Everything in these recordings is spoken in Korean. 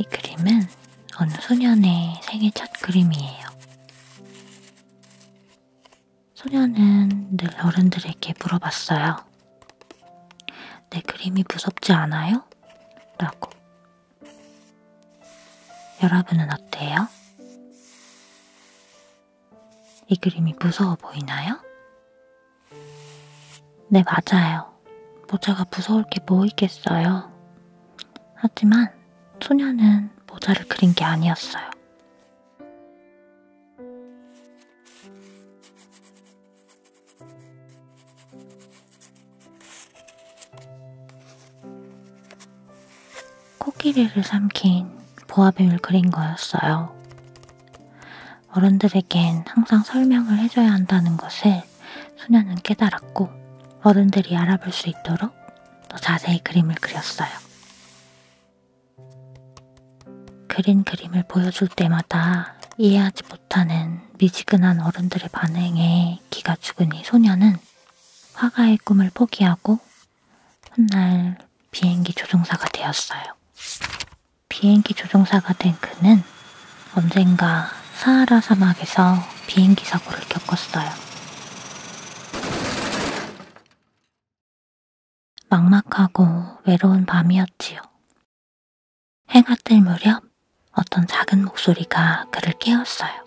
이 그림은 어느 소년의 생애 첫 그림이에요. 소녀는 늘 어른들에게 물어봤어요. 내 그림이 무섭지 않아요? 라고. 여러분은 어때요? 이 그림이 무서워 보이나요? 네, 맞아요. 모자가 무서울 게 뭐 있겠어요. 하지만 소녀는 모자를 그린 게 아니었어요. 코끼리를 삼킨 보아뱀을 그린 거였어요. 어른들에겐 항상 설명을 해줘야 한다는 것을 소녀는 깨달았고 어른들이 알아볼 수 있도록 더 자세히 그림을 그렸어요. 그린 그림을 보여줄 때마다 이해하지 못하는 미지근한 어른들의 반응에 기가 죽으니 소녀는 화가의 꿈을 포기하고 훗날 비행기 조종사가 되었어요. 비행기 조종사가 된 그는 언젠가 사하라 사막에서 비행기 사고를 겪었어요. 막막하고 외로운 밤이었지요. 해가 뜰 무렵 어떤 작은 목소리가 그를 깨웠어요.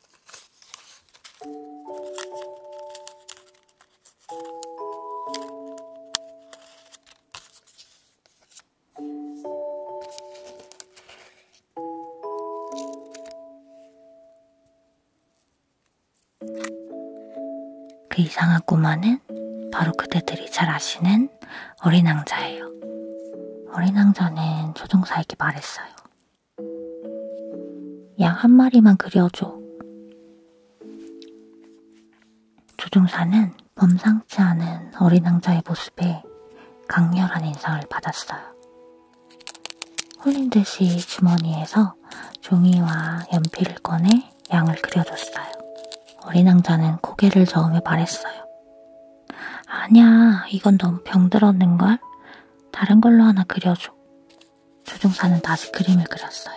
그 이상한 꼬마는 바로 그대들이 잘 아시는 어린 왕자예요. 어린 왕자는 조종사에게 말했어요. 양한 마리만 그려줘. 조종사는 범상치 않은 어린 왕자의 모습에 강렬한 인상을 받았어요. 홀린 듯이 주머니에서 종이와 연필을 꺼내 양을 그려줬어요. 어린 왕자는 고개를 저으며 말했어요. 아니야, 이건 너무 병들었는걸? 다른 걸로 하나 그려줘. 조종사는 다시 그림을 그렸어요.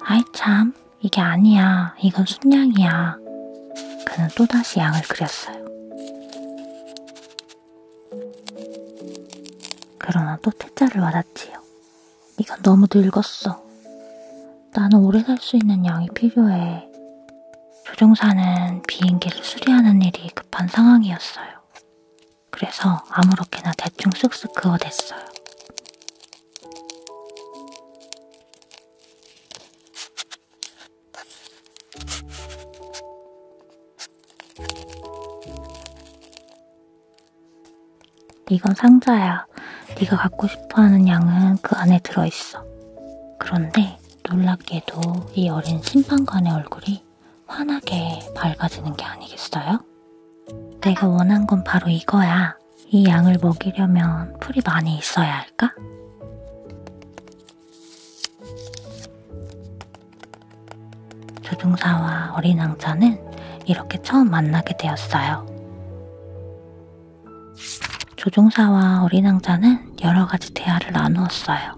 아이 참, 이게 아니야. 이건 순양이야. 그는 또다시 양을 그렸어요. 그러나 또 퇴짜를 와닿지요. 이건 너무 늙었어. 나는 오래 살 수 있는 양이 필요해. 조종사는 비행기를 수리하는 일이 급한 상황이었어요. 그래서 아무렇게나 대충 쓱쓱 그어댔어요. 이건 상자야. 네가 갖고 싶어하는 양은 그 안에 들어있어. 그런데 놀랍게도 이 어린 심판관의 얼굴이 환하게 밝아지는 게 아니겠어요? 내가 원한 건 바로 이거야. 이 양을 먹이려면 풀이 많이 있어야 할까? 조종사와 어린 왕자는 이렇게 처음 만나게 되었어요. 조종사와 어린 왕자는 여러 가지 대화를 나누었어요.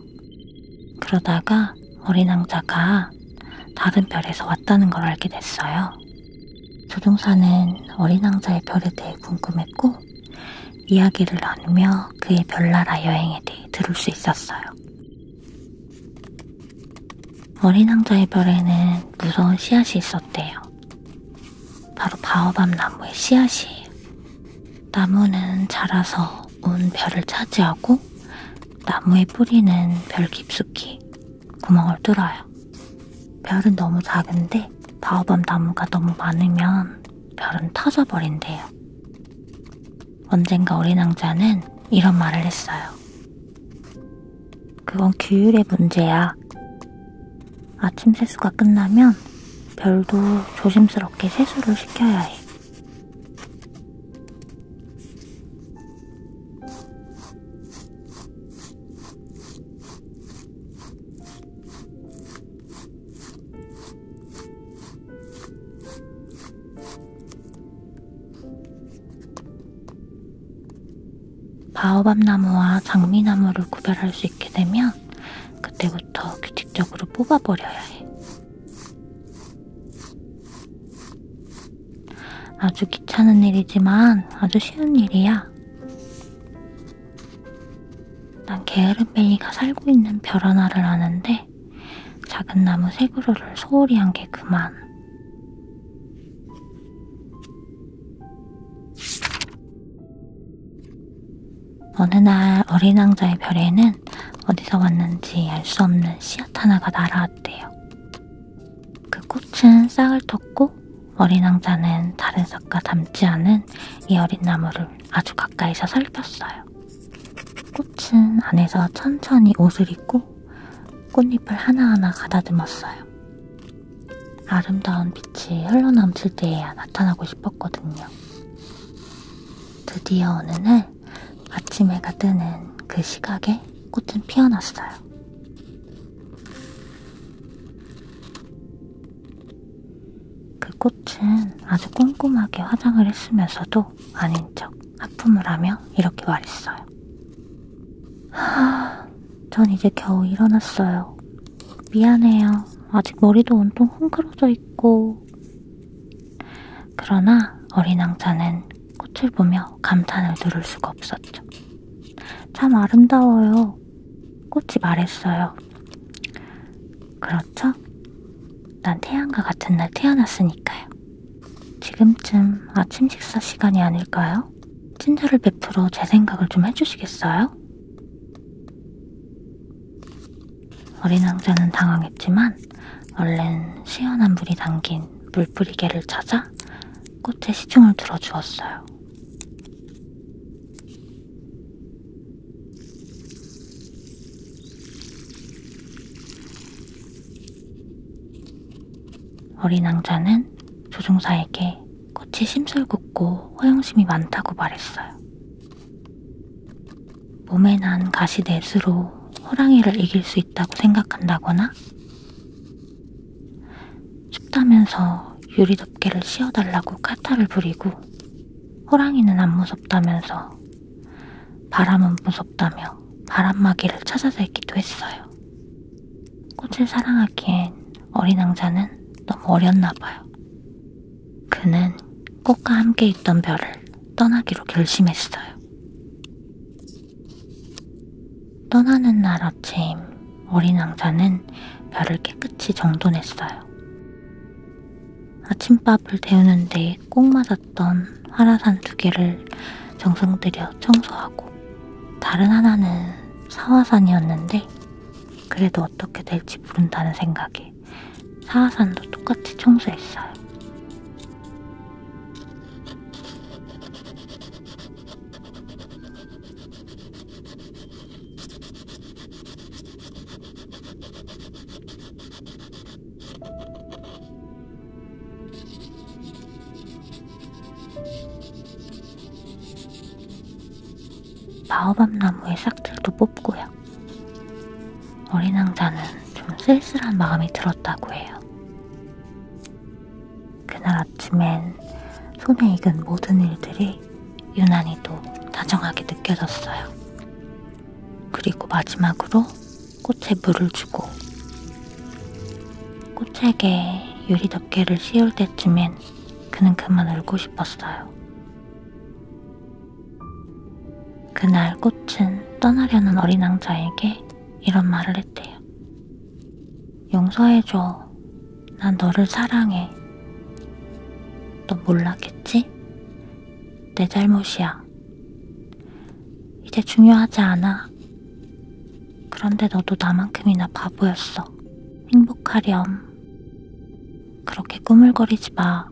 그러다가 어린 왕자가 다른 별에서 왔다는 걸 알게 됐어요. 조종사는 어린 왕자의 별에 대해 궁금했고 이야기를 나누며 그의 별나라 여행에 대해 들을 수 있었어요. 어린 왕자의 별에는 무서운 씨앗이 있었대요. 바로 바오밤 나무의 씨앗이에요. 나무는 자라서 온 별을 차지하고 나무의 뿌리는 별 깊숙이 구멍을 뚫어요. 별은 너무 작은데 바오밤 나무가 너무 많으면 별은 터져버린대요. 언젠가 어린 왕자는 이런 말을 했어요. 그건 규율의 문제야. 아침 세수가 끝나면 별도 조심스럽게 세수를 시켜야 해. 바오밤 나무와 장미 나무를 구별할 수 있게 되면 그때부터 규칙적으로 뽑아버려야 해. 아주 귀찮은 일이지만 아주 쉬운 일이야. 난 게으름벨리가 살고 있는 별 하나를 아는데 작은 나무 세 그루를 소홀히 한 게 그만. 어느 날 어린 왕자의 별에는 어디서 왔는지 알 수 없는 씨앗 하나가 날아왔대요. 그 꽃은 싹을 텄고 어린 왕자는 다른 싹과 닮지 않은 이 어린 나무를 아주 가까이서 살폈어요. 꽃은 안에서 천천히 옷을 입고 꽃잎을 하나하나 가다듬었어요. 아름다운 빛이 흘러넘칠 때에야 나타나고 싶었거든요. 드디어 어느 날 아침 해가 뜨는 그 시각에 꽃은 피어났어요. 그 꽃은 아주 꼼꼼하게 화장을 했으면서도 아닌 척 하품을 하며 이렇게 말했어요. 하, 전 이제 겨우 일어났어요. 미안해요. 아직 머리도 온통 헝클어져 있고. 그러나 어린 왕자는 꽃을 보며 감탄을 누를 수가 없었죠. 참 아름다워요. 꽃이 말했어요. 그렇죠? 난 태양과 같은 날 태어났으니까요. 지금쯤 아침 식사 시간이 아닐까요? 친절을 베풀어 제 생각을 좀 해주시겠어요? 어린 왕자는 당황했지만 얼른 시원한 물이 담긴 물뿌리개를 찾아 꽃에 시중을 들어주었어요. 어린 왕자는 조종사에게 꽃이 심술궂고 허영심이 많다고 말했어요. 몸에 난 가시 넷으로 호랑이를 이길 수 있다고 생각한다거나 춥다면서 유리 덮개를 씌워달라고 카타를 부리고 호랑이는 안 무섭다면서 바람은 무섭다며 바람막이를 찾아서 했기도 했어요. 꽃을 사랑하기엔 어린 왕자는 너무 어렸나 봐요. 그는 꽃과 함께 있던 별을 떠나기로 결심했어요. 떠나는 날 아침 어린 왕자는 별을 깨끗이 정돈했어요. 아침밥을 데우는데 꼭 맞았던 화라산 두 개를 정성들여 청소하고 다른 하나는 사화산이었는데 그래도 어떻게 될지 모른다는 생각에 사하산도 똑같이 청소했어요. 마호밤나무의 싹들도 뽑고요. 어린 왕자는 좀 쓸쓸한 마음이 들었다고 해요. 그날 아침엔 손에 익은 모든 일들이 유난히도 다정하게 느껴졌어요. 그리고 마지막으로 꽃에 물을 주고 꽃에게 유리 덮개를 씌울 때쯤엔 그는 그만 울고 싶었어요. 그날 꽃은 떠나려는 어린 왕자에게 이런 말을 했대요. 용서해줘. 난 너를 사랑해. 너 몰랐겠지? 내 잘못이야. 이제 중요하지 않아. 그런데 너도 나만큼이나 바보였어. 행복하렴. 그렇게 꾸물거리지 마.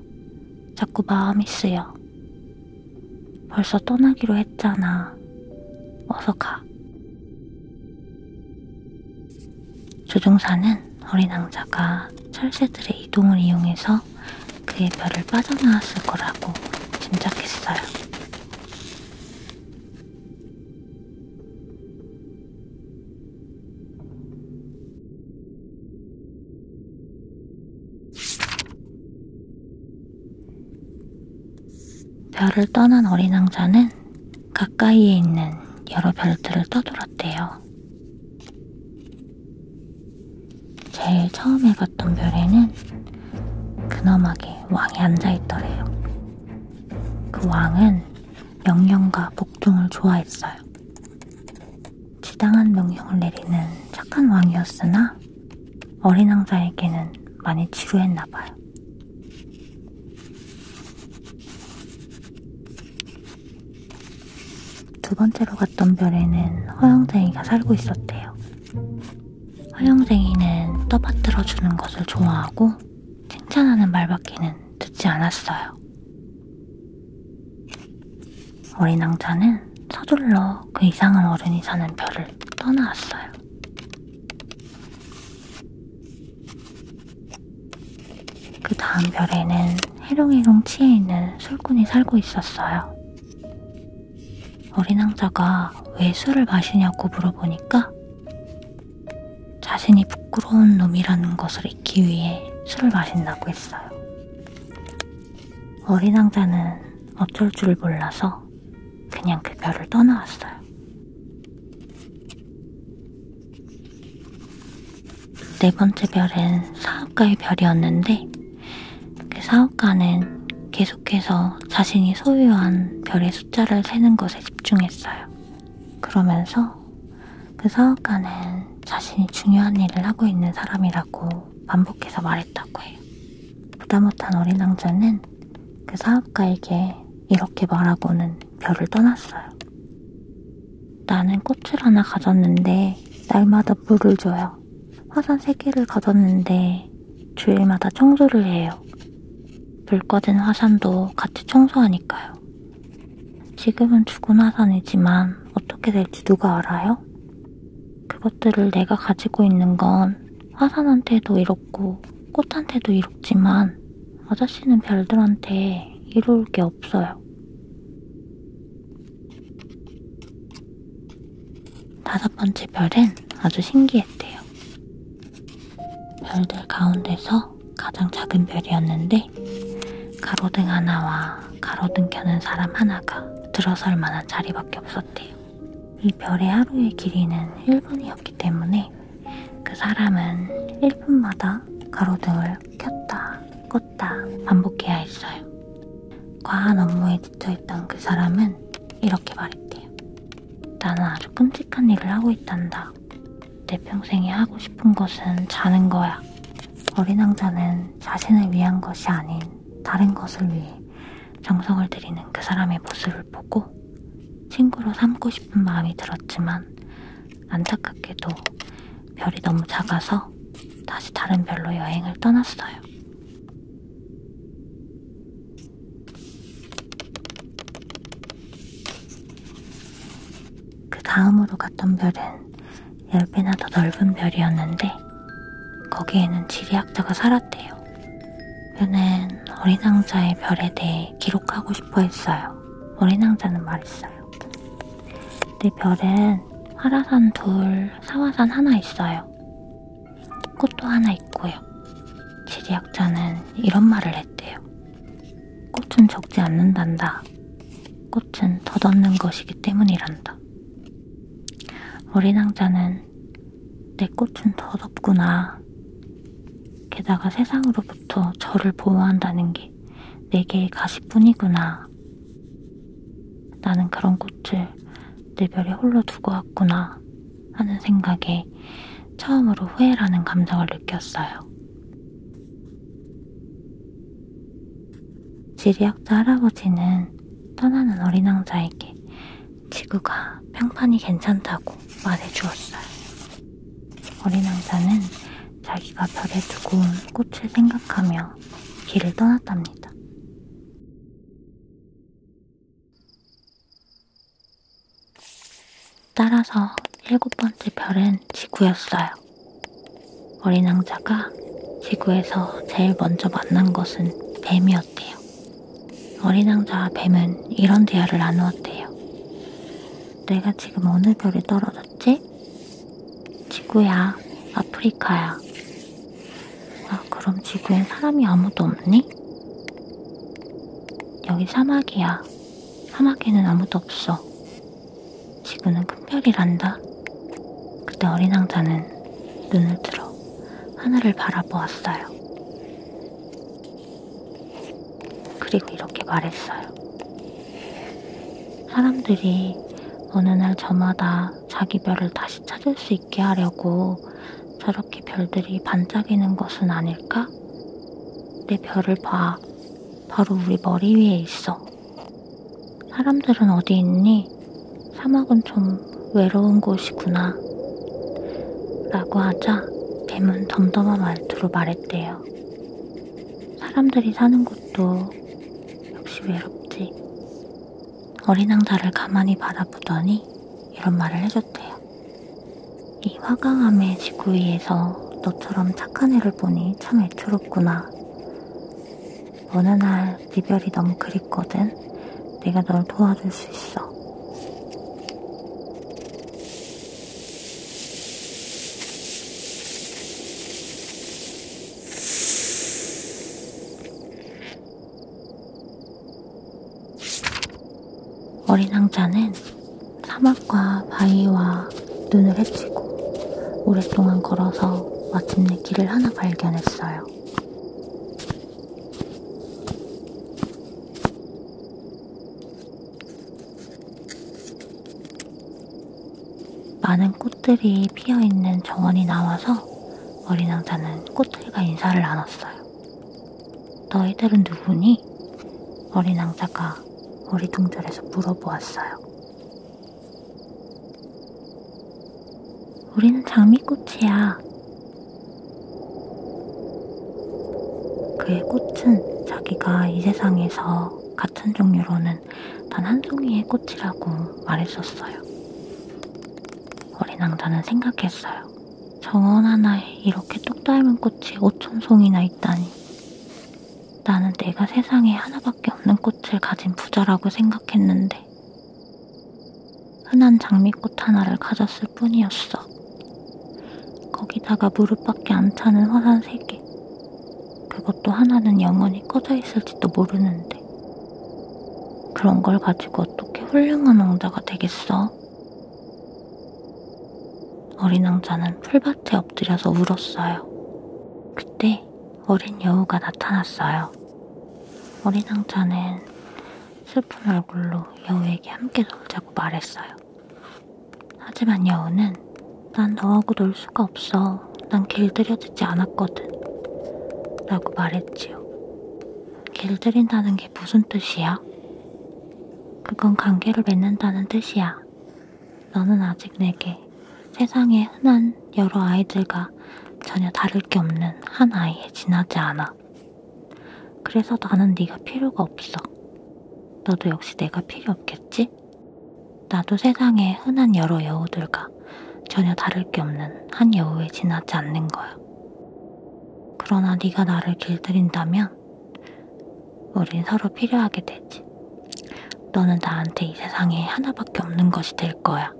자꾸 마음이 쓰여. 벌써 떠나기로 했잖아. 어서 가. 조종사는 어린 왕자가 철새들의 이동을 이용해서 그의 별을 빠져나왔을 거라고 짐작했어요. 별을 떠난 어린 왕자는 가까이에 있는 여러 별들을 떠돌았대요. 제일 처음에 갔던 별에는 근엄하게 왕이 앉아있더래요. 그 왕은 명령과 복종을 좋아했어요. 부당한 명령을 내리는 착한 왕이었으나 어린 왕자에게는 많이 지루했나봐요. 두 번째로 갔던 별에는 허영쟁이가 살고 있었대요. 허영쟁이는 떠받들어주는 것을 좋아하고 칭찬하는 말밖에는 듣지 않았어요. 어린 왕자는 서둘러 그 이상한 어른이 사는 별을 떠나왔어요. 그 다음 별에는 해롱해롱 치에 있는 술꾼이 살고 있었어요. 어린 왕자가 왜 술을 마시냐고 물어보니까 자신이 부끄러운 놈이라는 것을 잊기 위해 술을 마신다고 했어요. 어린 왕자는 어쩔 줄 몰라서 그냥 그 별을 떠나왔어요. 네 번째 별은 사업가의 별이었는데 그 사업가는 계속해서 자신이 소유한 별의 숫자를 세는 것에 집중했어요. 그러면서 그 사업가는 자신이 중요한 일을 하고 있는 사람이라고 반복해서 말했다고 해요. 보다 못한 어린 왕자는 그 사업가에게 이렇게 말하고는 별을 떠났어요. 나는 꽃을 하나 가졌는데 날마다 물을 줘요. 화산 세 개를 가졌는데 주일마다 청소를 해요. 불 꺼진 화산도 같이 청소하니까요. 있어요. 지금은 주고나산이지만 어떻게 될지 누가 알아요? 그것들을 내가 가지고 있는 건 화산한테도 이렇고 꽃한테도 이렇지만 아저씨는 별들한테 이룰 게 없어요. 다섯 번째 별은 아주 신기했대요. 별들 가운데서 가장 작은 별이었는데 있는데 가로등 하나와 가로등 켜는 사람 하나가 들어설 만한 자리밖에 없었대요. 이 별의 하루의 길이는 1분이었기 때문에 그 사람은 1분마다 가로등을 켰다 껐다 반복해야 했어요. 과한 업무에 지쳐있던 그 사람은 이렇게 말했대요. 나는 아주 끔찍한 일을 하고 있단다. 내 평생에 하고 싶은 것은 자는 거야. 어린 왕자는 자신을 위한 것이 아닌 다른 것을 위해 정성을 들이는 그 사람의 모습을 보고 친구로 삼고 싶은 마음이 들었지만 안타깝게도 별이 너무 작아서 다시 다른 별로 여행을 떠났어요. 그 다음으로 갔던 별은 10배나 더 넓은 별이었는데 거기에는 지리학자가 살았대요. 그는 어린 왕자의 별에 대해 기록하고 싶어 했어요. 어린 왕자는 말했어요. 내 별은 화라산 둘, 사화산 하나 있어요. 꽃도 하나 있고요. 지리학자는 이런 말을 했대요. 꽃은 적지 않는단다. 꽃은 덧없는 것이기 때문이란다. 어린 왕자는 내 꽃은 덧없구나. 게다가 세상으로부터 저를 보호한다는 게 내게의 가시뿐이구나. 나는 그런 꽃을 내 별에 홀로 두고 왔구나 하는 생각에 처음으로 후회라는 감정을 느꼈어요. 지리학자 할아버지는 떠나는 어린 왕자에게 지구가 평판이 괜찮다고 말해주었어요. 어린 왕자는 자기가 별에 두고 온 꽃을 생각하며 길을 떠났답니다. 따라서 일곱 번째 별은 지구였어요. 어린 왕자가 지구에서 제일 먼저 만난 것은 뱀이었대요. 어린 왕자와 뱀은 이런 대화를 나누었대요. 내가 지금 어느 별에 떨어졌지? 지구야, 아프리카야. 아, 그럼 지구엔 사람이 아무도 없니? 여기 사막이야. 사막에는 아무도 없어. 지구는 큰 별이란다. 그때 어린 왕자는 눈을 들어 하늘을 바라보았어요. 그리고 이렇게 말했어요. 사람들이 어느 날 저마다 자기 별을 다시 찾을 수 있게 하려고 저렇게 별들이 반짝이는 것은 아닐까? 내 별을 봐. 바로 우리 머리 위에 있어. 사람들은 어디 있니? 사막은 좀 외로운 곳이구나. 라고 하자 뱀은 덤덤한 말투로 말했대요. 사람들이 사는 곳도 역시 외롭지. 어린 왕자를 가만히 바라보더니 이런 말을 해줬대요. 이 화강암의 지구 위에서 너처럼 착한 애를 보니 참 애처롭구나. 어느 날 이별이 너무 그립거든. 내가 널 도와줄 수 있어. 어린 왕자는 사막과 바위와 눈을 헤치고 오랫동안 걸어서 마침내 가는 길을 하나 발견했어요. 많은 꽃들이 피어 있는 정원이 나와서 어린 왕자는 꽃들과 인사를 나눴어요. 너희들은 누구니? 어린 왕자가 어리둥절해서 물어보았어요. 우리는 장미꽃이야. 그의 꽃은 자기가 이 세상에서 같은 종류로는 단 한 송이의 꽃이라고 말했었어요. 어린 왕자는 생각했어요. 정원 하나에 이렇게 뚝 닮은 꽃이 5천 송이나 있다니. 나는 내가 세상에 하나밖에 없는 꽃을 가진 부자라고 생각했는데 흔한 장미꽃 하나를 가졌을 뿐이었어. 거기다가 무릎밖에 안 차는 화산 세 개. 그것도 하나는 영원히 꺼져 있을지도 모르는데 그런 걸 가지고 어떻게 훌륭한 왕자가 되겠어? 어린 왕자는 풀밭에 엎드려서 울었어요. 그때 어린 여우가 나타났어요. 어린 왕자는 슬픈 얼굴로 여우에게 함께 놀자고 말했어요. 하지만 여우는 난 너하고 놀 수가 없어. 난 길들여지지 않았거든. 라고 말했지요. 길들인다는 게 무슨 뜻이야? 그건 관계를 맺는다는 뜻이야. 너는 아직 내게 세상의 흔한 여러 아이들과 전혀 다를 게 없는 한 아이에 지나지 않아. 그래서 나는 네가 필요가 없어. 너도 역시 내가 필요 없겠지? 나도 세상의 흔한 여러 여우들과 전혀 다를 게 없는 한 여우에 지나지 않는 거야. 그러나 네가 나를 길들인다면 우린 서로 필요하게 되지. 너는 나한테 이 세상에 하나밖에 없는 것이 될 거야.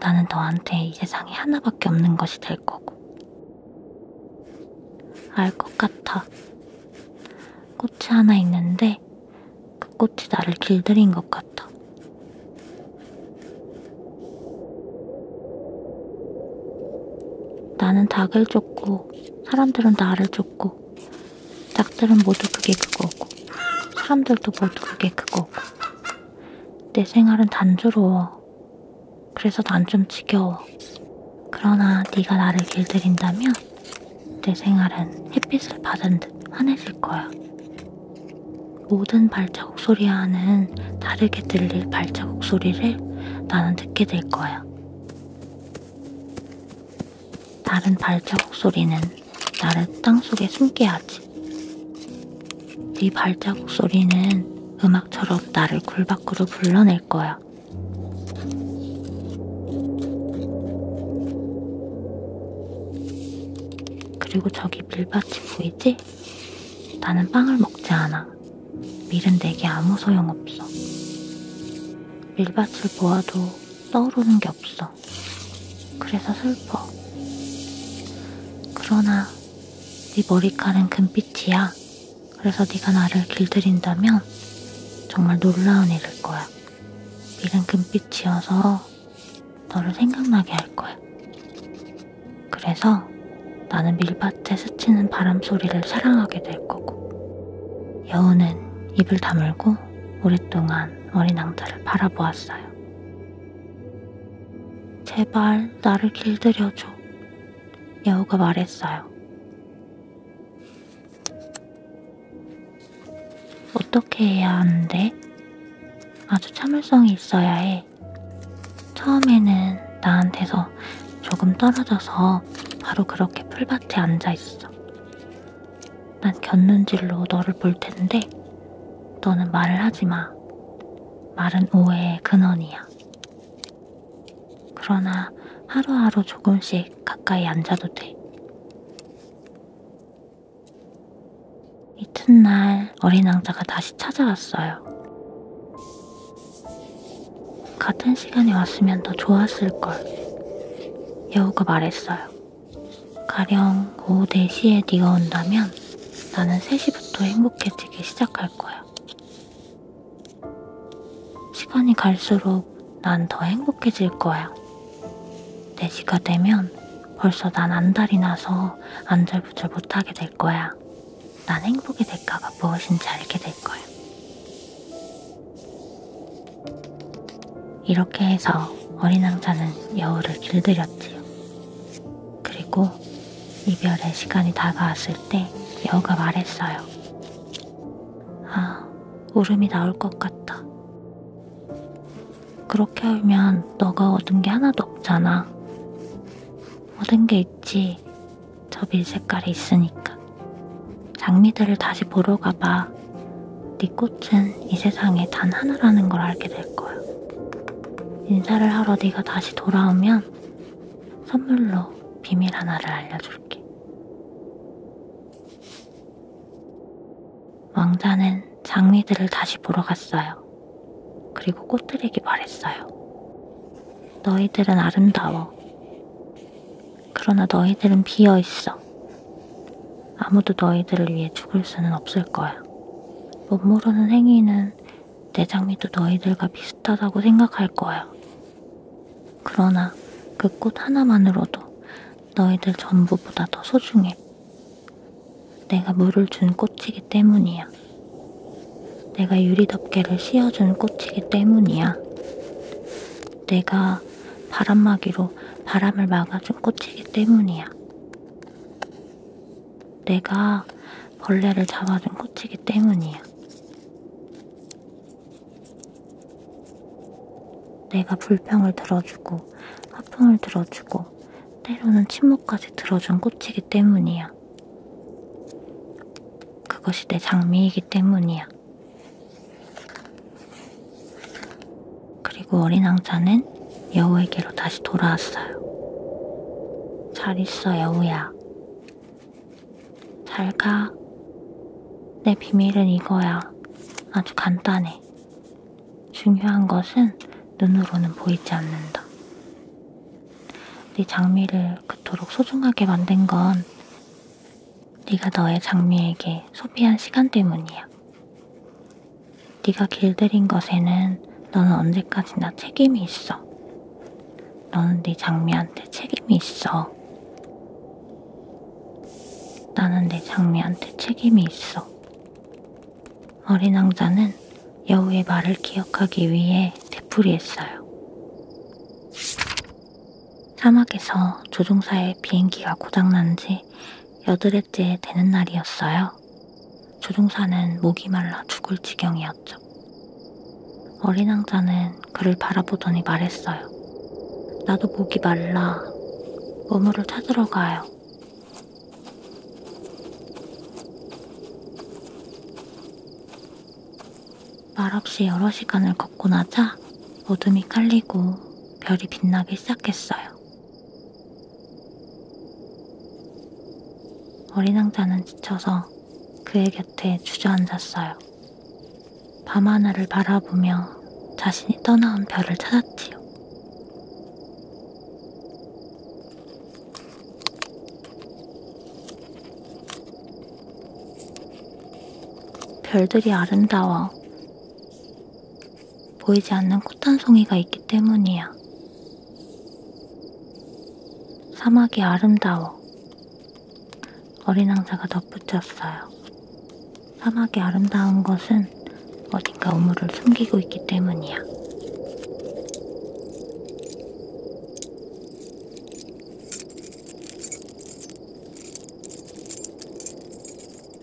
나는 너한테 이 세상에 하나밖에 없는 것이 될 거고. 알 것 같아. 꽃이 하나 있는데 그 꽃이 나를 길들인 것 같아. 나는 닭을 쫓고 사람들은 나를 쫓고 닭들은 모두 그게 그거고 사람들도 모두 그게 그거고 내 생활은 단조로워 그래서 난 좀 지겨워 그러나 네가 나를 길들인다면 내 생활은 햇빛을 받은 듯 환해질 거야 모든 발자국 소리와는 다르게 들릴 발자국 소리를 나는 듣게 될 거야 다른 발자국 소리는 나를 땅속에 숨게 하지. 네 발자국 소리는 음악처럼 나를 굴 밖으로 불러낼 거야. 그리고 저기 밀밭이 보이지? 나는 빵을 먹지 않아. 밀은 내게 아무 소용없어. 밀밭을 보아도 떠오르는 게 없어. 있어. 그래서 슬퍼. 그러나 네 머리칼은 금빛이야. 그래서 네가 나를 길들인다면 정말 놀라운 일일 거야. 미은 금빛이어서 너를 생각나게 할 거야. 그래서 나는 밀밭에 스치는 바람 소리를 사랑하게 될 거고 여우는 입을 다물고 오랫동안 어린 앙자를 바라보았어요. 제발 나를 길들여줘. 여우가 말했어요. 어떻게 해야 하는데? 아주 참을성이 있어야 해. 처음에는 나한테서 조금 떨어져서 바로 그렇게 풀밭에 앉아 있어. 난 곁눈질로 너를 볼 텐데 너는 말을 하지 마. 말은 오해의 근원이야. 그러나 하루하루 조금씩 가까이 앉아도 돼. 이튿날 어린 왕자가 다시 찾아왔어요. 같은 시간에 왔으면 더 좋았을 걸. 여우가 말했어요. 가령 오후 4시에 네가 온다면 나는 3시부터 행복해지기 시작할 거야. 시간이 갈수록 난 더 행복해질 거야. 4시가 되면 벌써 난 안달이 나서 안절부절 못하게 될 거야. 난 행복의 대가가 무엇인지 알게 될 거야. 이렇게 해서 어린 왕자는 여우를 길들였지요. 그리고 이별의 시간이 다가왔을 때 여우가 말했어요. 아, 울음이 나올 것 같다. 그렇게 울면 너가 얻은 게 하나도 없잖아. 얻은 게 있지. 저밀 색깔이 있으니까. 장미들을 다시 보러 가봐. 네 꽃은 이 세상에 단 하나라는 걸 알게 될 거야. 인사를 하러 네가 다시 돌아오면 선물로 비밀 하나를 알려줄게. 왕자는 장미들을 다시 보러 갔어요. 그리고 꽃들에게 말했어요. 너희들은 아름다워. 그러나 너희들은 비어 있어. 아무도 너희들을 위해 죽을 수는 없을 거야. 못 모르는 행위는 내 장미도 너희들과 비슷하다고 생각할 거야. 그러나 그 꽃 하나만으로도 너희들 전부보다 더 소중해. 내가 물을 준 꽃이기 때문이야. 내가 유리덮개를 씌워준 꽃이기 때문이야. 내가 바람막이로 바람을 막아준 꽃이기 때문이야. 내가 벌레를 잡아준 꽃이기 때문이야. 내가 불평을 들어주고, 화풍을 들어주고, 때로는 침묵까지 들어준 꽃이기 때문이야. 그것이 내 장미이기 때문이야. 그리고 어린 왕자는 여우에게로 다시 돌아왔어요. 잘 있어, 여우야. 잘 가. 내 비밀은 이거야. 아주 간단해. 중요한 것은 눈으로는 보이지 않는다. 네 장미를 그토록 소중하게 만든 건 네가 너의 장미에게 소비한 시간 때문이야. 네가 길들인 것에는 너는 언제까지나 책임이 있어. 너는 네 장미한테 책임이 있어. 나는 내 네 장미한테 책임이 있어. 어린 왕자는 여우의 말을 기억하기 위해 되풀이했어요. 사막에서 조종사의 비행기가 고장난 지 여드레째 되는 날이었어요. 조종사는 목이 말라 죽을 지경이었죠. 어린 왕자는 그를 바라보더니 말했어요. 나도 목이 말라 우물을 찾으러 가요. 말없이 여러 시간을 걷고 나자 어둠이 깔리고 별이 빛나기 시작했어요. 어린 왕자는 지쳐서 그의 곁에 주저앉았어요. 밤 하늘을 바라보며 자신이 떠나온 별을 찾았지요. 별들이 아름다워 보이지 않는 꽃한 송이가 있기 때문이야. 사막이 아름다워. 어린 왕자가 덧붙였어요. 사막이 아름다운 것은 어딘가 우물을 숨기고 있기 때문이야.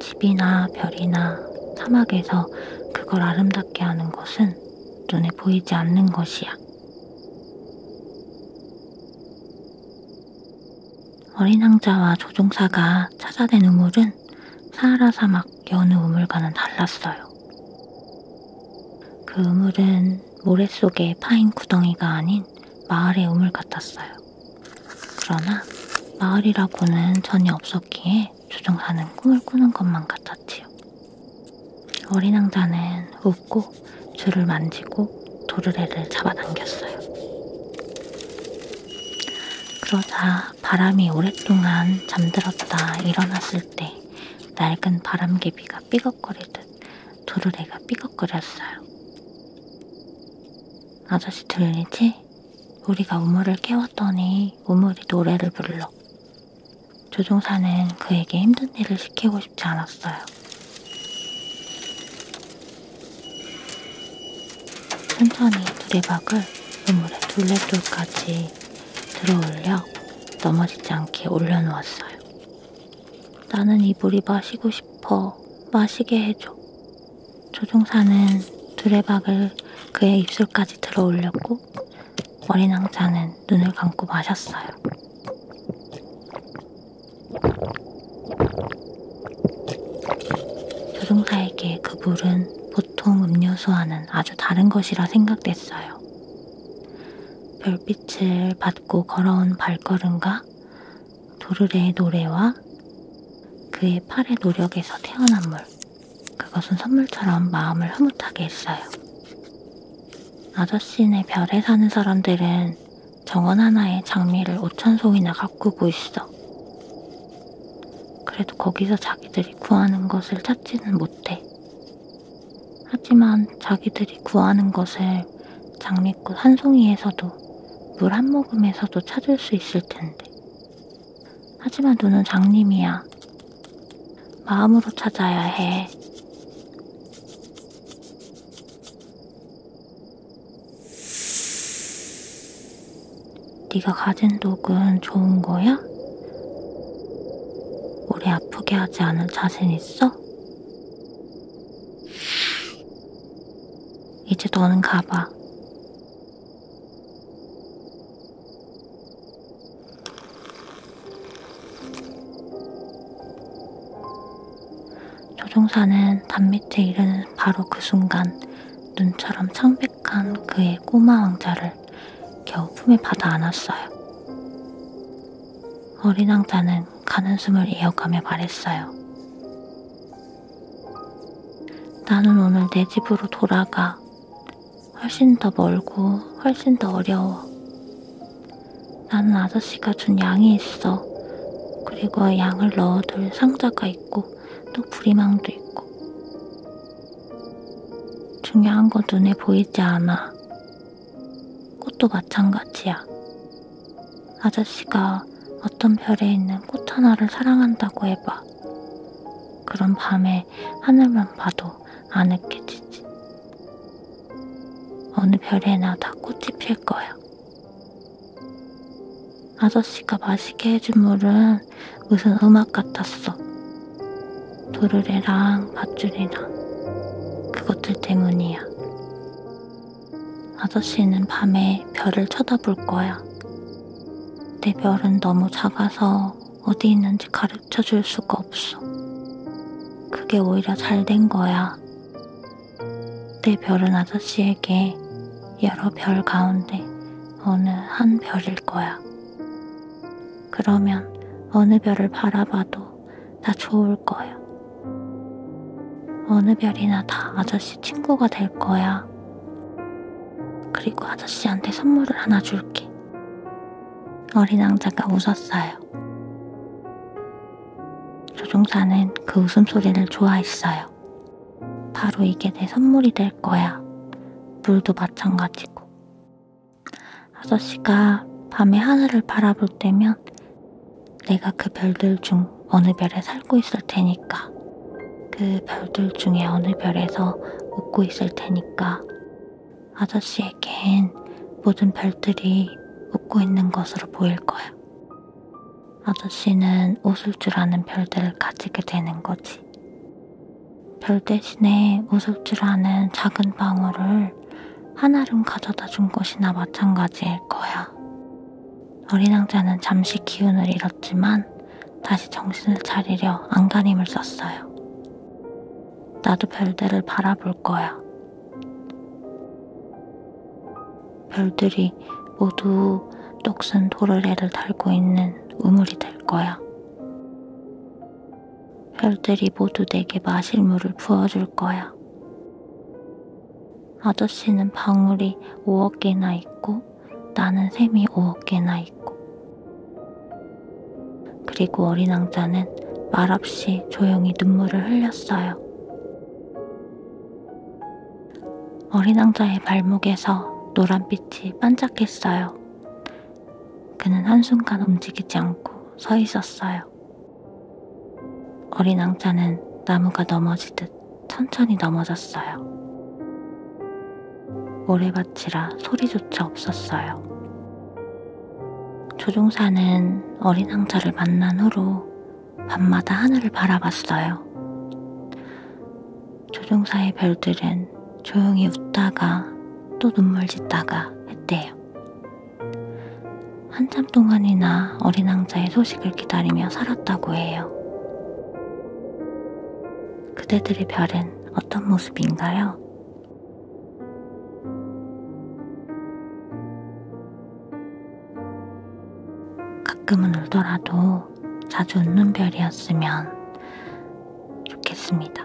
집이나 별이나 사막에서 그걸 아름답게 하는 것은 눈에 보이지 않는 것이야. 어린 왕자와 조종사가 찾아낸 우물은 사하라 사막 여느 우물과는 달랐어요. 그 우물은 건 모래 속에 파인 구덩이가 아닌 마을의 우물 같았어요. 그러나 마을이라고는 전혀 없었기에 조종사는 꿈을 꾸는 것만 같았지요. 어린 왕자는 웃고 줄을 만지고 도르래를 잡아당겼어요. 그러자 바람이 오랫동안 잠들었다 일어났을 때 낡은 바람개비가 삐걱거리듯 도르래가 삐걱거렸어요. 아저씨 들리지? 우리가 우물을 깨웠더니 우물이 노래를 불러. 조종사는 그에게 힘든 일을 시키고 싶지 않았어요. 천천히 두레박을 우물의 둘레돌까지 들어올려 넘어지지 않게 올려놓았어요. 나는 이 물이 마시고 싶어. 마시게 해줘. 조종사는 두레박을 그의 입술까지 들어 올렸고 어린 왕자는 눈을 감고 마셨어요. 조종사에게 그 물은 보통 음료수와는 아주 다른 것이라 생각됐어요. 별빛 햇빛을 받고 걸어온 발걸음과 도르래의 노래와 그의 팔의 노력에서 태어난 물, 그것은 선물처럼 마음을 흐뭇하게 했어요. 아저씨네 별에 사는 사람들은 정원 하나에 장미를 5천 송이나 가꾸고 있어. 그래도 거기서 자기들이 구하는 것을 찾지는 못해. 하지만 자기들이 구하는 것을 장미꽃 한 송이에서도 물 한 모금에서도 찾을 수 있을 텐데. 하지만 눈은 장님이야. 마음으로 찾아야 해. 네가 가진 독은 좋은 거야? 오래 아프게 하지 않을 자신 있어? 이제 너는 가봐. 조종사는 단밑에 이르는 바로 그 순간 눈처럼 창백한 그의 꼬마 왕자를 겨우 품에 받아 안았어요. 어린 왕자는 그냥 가는 숨을 이어가며 말했어요. 나는 오늘 내 집으로 돌아가. 훨씬 더 멀고 훨씬 더 어려워. 나는 아저씨가 준 양이 있어. 그리고 양을 넣어둘 상자가 있고 또 부리망도 있고. 중요한 건 눈에 보이지 않아. 꽃도 마찬가지야. 아저씨가 어떤 별에 있는 꽃 하나를 사랑한다고 해봐. 그런 밤에 하늘만 봐도 아늑해지지. 어느 별에나 다 꽃이 필 거야. 아저씨가 마시게 해준 물은 무슨 음악 같았어. 도르래랑 밧줄이랑 그것들 때문이야. 아저씨는 밤에 별을 쳐다볼 거야. 내 별은 너무 작아서 어디 있는지 가르쳐 줄 수가 없어. 그게 오히려 잘 된 거야. 내 별은 아저씨에게 여러 별 가운데 어느 한 별일 거야. 그러면 어느 별을 바라봐도 다 좋을 거야. 어느 별이나 다 아저씨 친구가 될 거야. 그리고 아저씨한테 선물을 하나 줄게. 어린 왕자가 웃었어요. 조종사는 그 웃음소리를 좋아했어요. 바로 이게 내 선물이 될 거야. 물도 마찬가지고. 아저씨가 밤에 하늘을 바라볼 때면 내가 그 별들 중 어느 별에 살고 있을 테니까, 그 별들 중에 어느 별에서 웃고 있을 테니까, 아저씨에겐 모든 별들이 웃고 있는 것으로 보일 거야. 아저씨는 웃을 줄 아는 별들을 가지게 되는 거지. 별 대신에 웃을 줄 아는 작은 방울을 하나름 가져다 준 것이나 마찬가지일 거야. 어린 왕자는 잠시 기운을 잃었지만 다시 정신을 차리려 안간힘을 썼어요. 나도 별들을 바라볼 거야. 별들이 모두 똑순 도르래를 달고 있는 우물이 될 거야. 별들이 모두 내게 마실 물을 부어줄 거야. 아저씨는 방울이 5억 개나 있고 나는 샘이 5억 개나 있고 그리고 어린 왕자는 말없이 조용히 눈물을 흘렸어요. 어린 왕자의 발목에서 노란빛이 반짝했어요. 그는 한순간 움직이지 않고 서 있었어요. 어린 앙자는 나무가 넘어지듯 천천히 넘어졌어요. 모래밭이라 소리조차 없었어요. 조종사는 어린 앙자를 만난 후로 밤마다 하늘을 바라봤어요. 조종사의 별들은 조용히 웃다가 또 눈물 짓다가 했대요. 한참 동안이나 어린 왕자의 소식을 기다리며 살았다고 해요. 그대들의 별은 어떤 모습인가요? 가끔은 울더라도 자주 웃는 별이었으면 좋겠습니다.